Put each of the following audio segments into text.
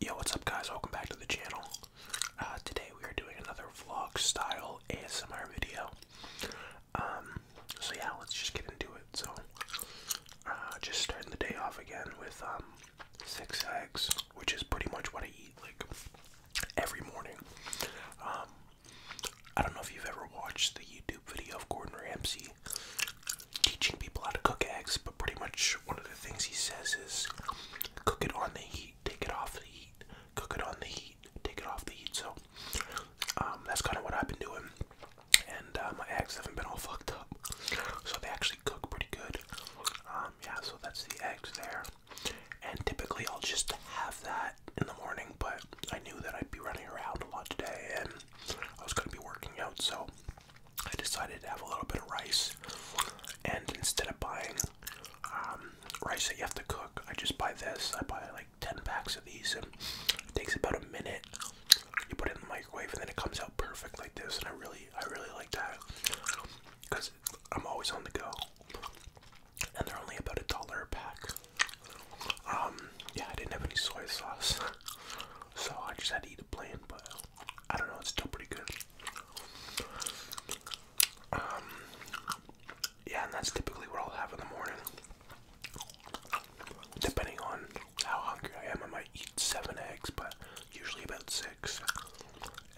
Yo, what's up, guys? Welcome back to the channel. Uh, today we are doing another vlog style ASMR video. Um, so yeah, let's just get into it. So, uh, just starting the day off again with um, six eggs, which is pretty much what I eat like every morning. Um, I don't know if you've ever watched the YouTube video of Gordon Ramsay teaching people how to cook eggs, but pretty much one of the things he says is cook it on the heat, take it off the heat, cook it on the heat, take it off the heat. So um, that's kind of what I've been doing, and uh, my eggs haven't been all fucked up, so they actually cook pretty good. Um, yeah, so that's the eggs there, and typically I'll just have that in the morning, but I knew that I'd be running around a lot today, and I was gonna be working out, so I decided to have a little bit of rice, and instead of buying um, rice that you have to cook, I just buy this. I buy like 10 packs of these, and it takes about a minute. You put it in the microwave, and then it comes out perfect like this. And I really, I really like that because I'm always on the go, and they're only about a dollar a pack. Um, yeah, I didn't have any soy sauce, so I just had to eat a plain. But I don't know, it's still pretty good. Um, yeah, and that's typically what I'll have in the morning. Depending on how hungry I am, I might eat seven eggs, but usually about six.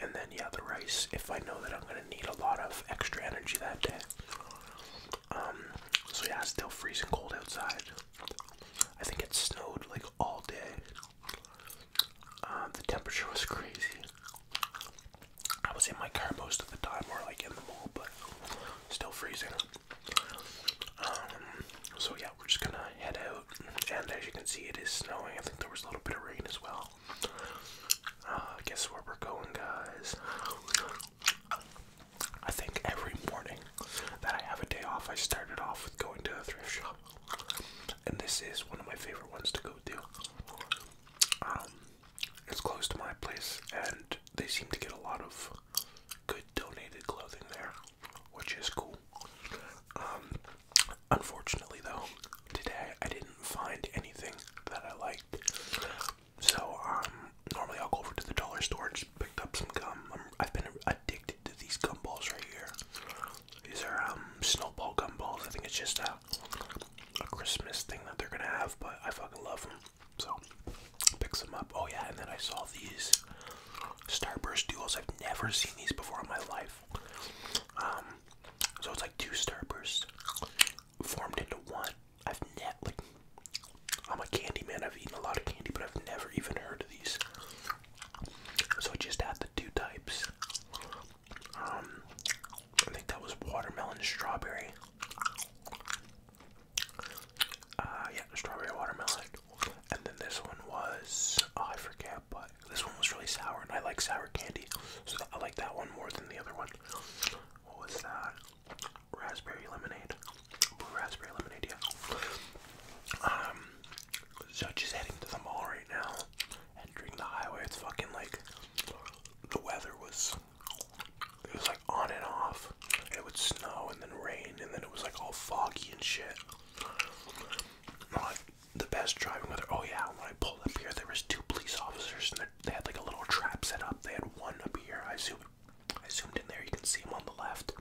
And then, yeah, the rice if I know that I'm gonna need a lot of extra energy that day. Um, so yeah, it's still freezing cold outside. I think it snowed like all day. Um, the temperature was crazy. I was in my car most of the time, or like in the mall, but still freezing. Um, so yeah, we're just gonna head out, and as you can see, it is snowing. I think there was a little bit of rain as well. Uh, guess where we're going, guys? I think every morning that I have a day off, I started off with going to a thrift shop, and this is one of my favorite ones to go to. Um, it's close to my place, and they seem to get a lot of good donated clothing there, which is cool. Um, unfortunately, though, today I didn't find anything that I liked, so um, normally I'll go over to the dollar store and just pick up some gum. i have been addicted to these gumballs right here. These are um, snowball gumballs. I think it's just a, a Christmas thing that they're gonna have, but I fucking love them. So picks some up. Oh yeah, and then I saw these Starburst duels. I've never seen these before in my life. Um, so it's like two starburst formed into one. I've never, like, I'm a candy man. I've eaten a lot of candy, but I've never even heard of these. So I just had the two types. Um, I think that was watermelon, strawberry. Uh, yeah, strawberry, watermelon. And then this one was, oh, I forget, but this one was really sour, and I like sour candy, so I like that one more than the other one. What was that? Raspberry lemonade. Blue raspberry lemonade, yeah. Um, so just heading to the mall right now. Entering the highway, it's fucking like the weather was it was like on and off. It would snow and then rain and then it was like all foggy and shit. Not the best driving weather. Oh yeah, when I pulled up here there was two police officers and they they had like a little trap set up. They had one up here. I zoomed, I zoomed in there. You can see him on the left.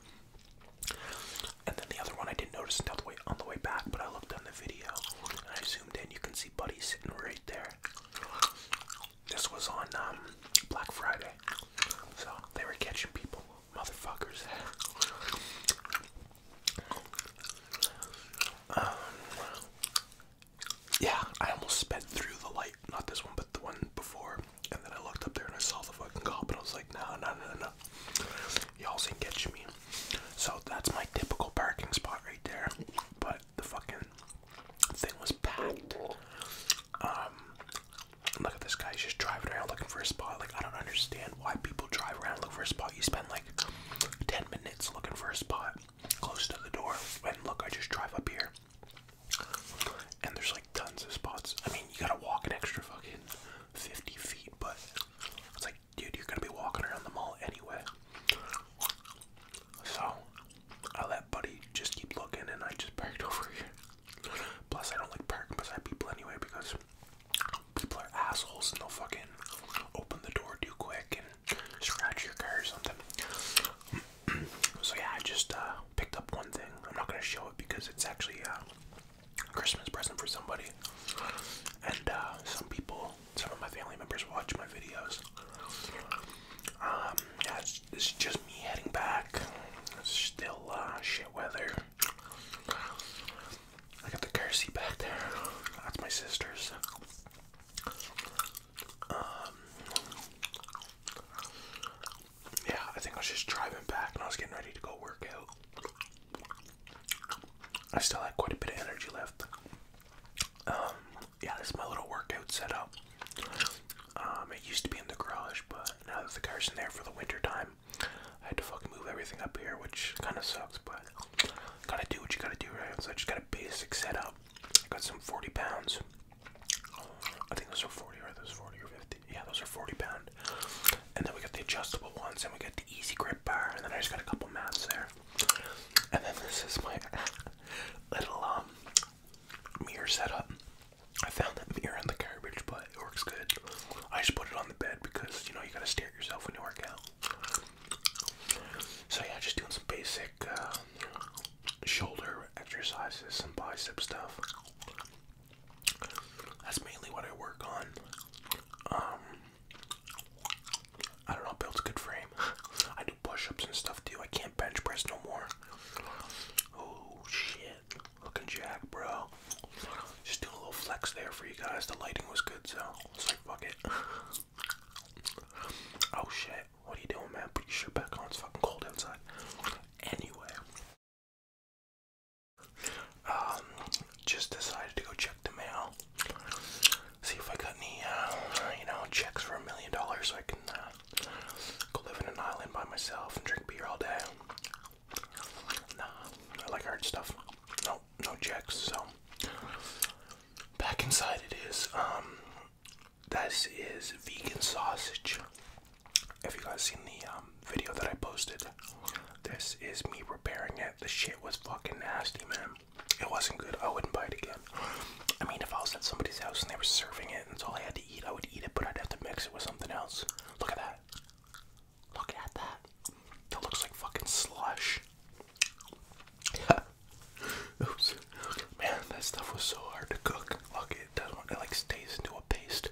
And then the other one I didn't notice until the way on the way back, but I looked on the video and I zoomed in. You can see Buddy sitting right there. This was on um, Black Friday, so they were catching people, motherfuckers. Um, yeah, I almost sped through the light. Not this one, but the one before. And then I looked up there and I saw the fucking cop and I was like, no, no, no, no. Y'all ain't catch me. So that's my typical parking spot right there. But the fucking thing was packed. Um, look at this guy. He's just driving around looking for a spot. Like, I don't understand why people drive around looking for a spot. You spend like. 10 minutes looking for a spot close to the door. And look, I just drive up here. And there's like tons of spots. I mean, you gotta walk an extra fucking 50 feet, but it's like, dude, you're gonna be walking around the mall anyway. So, I let Buddy just keep looking and I just parked over here. Plus, I don't like parking beside people anyway because people are assholes and they'll fucking open the door too quick and scratch your car or something. so yeah, I just uh, picked up one thing. I'm not gonna show it because it's actually uh, a Christmas present for somebody. And uh, some people, some of my family members watch my videos. Um, yeah, it's, it's just me heading back. It's still shit weather. I got the Kersey back there. That's my sister's. Um, yeah, I think I was just driving back and I was getting ready to go work out. I still had quite a bit of energy left. Um, yeah, this is my little workout setup. Um, it used to be in the garage, but now that the car's in there for the winter time, I had to fucking move everything up here, which kind of sucks, but gotta do what you gotta do, right? So I just got a basic setup. I got some 40 pounds. I think those are 40, right? Those 40 or 50. Yeah, those are 40 pound. And then we got the adjustable ones, and we got the easy grip bar, and then I just got a couple mats there. And then this is my little um, mirror setup. I found that mirror in the garbage, but it works good. I just put it on the bed because you know you gotta stare at yourself when you work out. So yeah, just doing some basic um, shoulder exercises, some bicep stuff. That's mainly what I work on. Um, I don't know, builds a good frame. I do push-ups and stuff too. I can't bench press no more. Oh shit. Looking jack, bro. Just do a little flex there for you guys. The lighting was good, so it's like fuck it. oh shit, what are you doing, man? Put your shirt back on. It's fucking cold outside. Anyway, um, just decided to go check the mail. See if I got any, uh, you know, checks for a million dollars so I can uh, go live in an island by myself and drink beer all day. Nah, I like hard stuff. No, no checks. So back inside it is. Um, this is vegan sausage. If you guys seen the um, video that I posted, this is me repairing it. The shit was fucking nasty, man. It wasn't good. I wouldn't buy it again. I mean, if I was at somebody's house and they were serving it, and it's all I had to I would eat it, but I'd have to mix it with something else. Look at that. Look at that. That looks like fucking slush. Oops. Man, that stuff was so hard to cook. Look, it doesn't, it like stays into a paste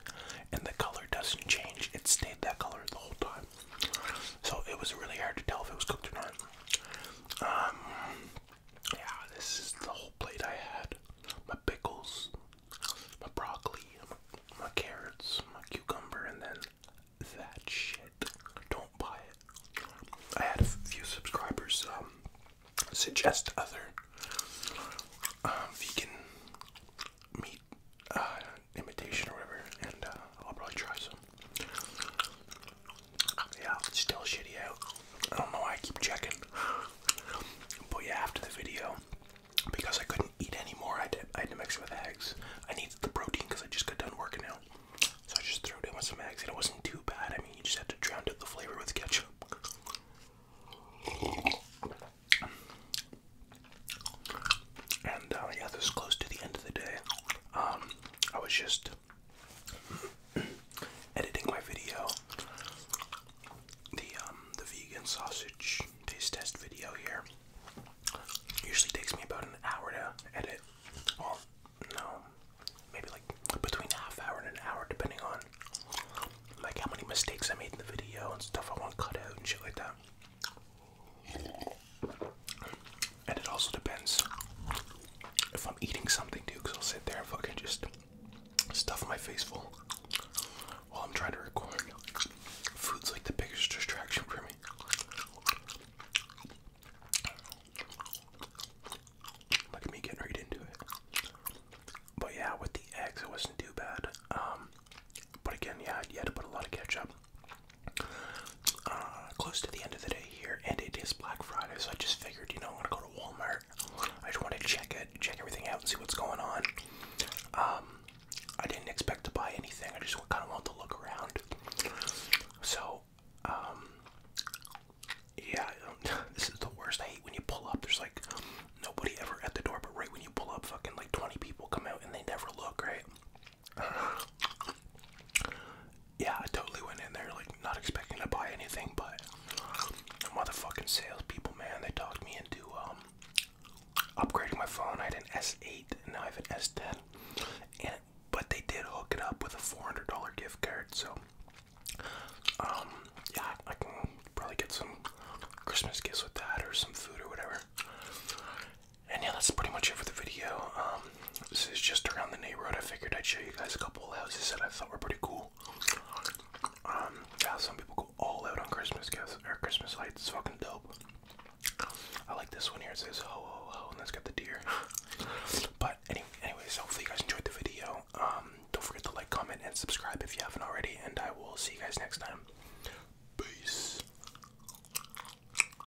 and the color doesn't change. It stayed that color the whole time. So it was really hard to tell if it was cooked or not. Um, yeah, this is the whole plate I had. My pickles, my broccoli, my carrots, my cucumber, and then that shit. Don't buy it. I had a few subscribers um, suggest other um, vegan meat uh, imitation or whatever, and uh, I'll probably try some. Yeah, it's still shitty out. I don't know why I keep checking. But yeah, after the video, because I couldn't eat anymore, I did I had to mix with eggs. I need the protein because I just got done working out. So I just threw it in with some eggs, and it wasn't too bad. I mean, you just had to drown out the flavor with ketchup. And uh, yeah, this is close to the end of the day. Um, I was just editing my video, the um the vegan sausage taste test video here. Usually takes me about an hour to edit. Well, no, maybe like between a half hour and an hour, depending on like how many mistakes I made in the video and stuff I want cut out and shit like that. And it also depends if I'm eating something, dude, because I'll sit there and fucking just stuff my face full while I'm trying to record. Food's like the biggest distraction for me. Look at me getting right into it. But yeah, with the eggs, it wasn't too bad. Um, but again, yeah, you had to put a lot of ketchup. Uh, close to the end of the day, here, and it is Black Friday, so I just figured, you know, I'm gonna go to Walmart. I just want to check it, check everything out, and see what's going on. Um, I didn't expect to buy anything. I just kind of want to look around. So, um, yeah, this is the worst. I hate when you pull up. There's like nobody ever at the door, but right when you pull up, fucking like 20 people come out and they never look right yeah, I totally went in there like not expecting to buy anything, but the motherfucking salespeople, man, they talked me into um, upgrading my phone. I had an S8 and now I have an S10, and but they did hook it up with a $400 gift card, so um, yeah, I can probably get some Christmas gifts with that or some food or whatever. And yeah, that's pretty much it for the video. Um, this is just around the neighborhood. I figured I'd show you guys a couple houses that I thought were pretty cool. Um, yeah, some people go all out on Christmas gifts or Christmas lights. It's fucking dope. I like this one here. It says ho ho ho, and that's got the deer. but any, anyways, hopefully you guys enjoyed the video. Um, don't forget to like, comment, and subscribe if you haven't already. And I will see you guys next time. Peace.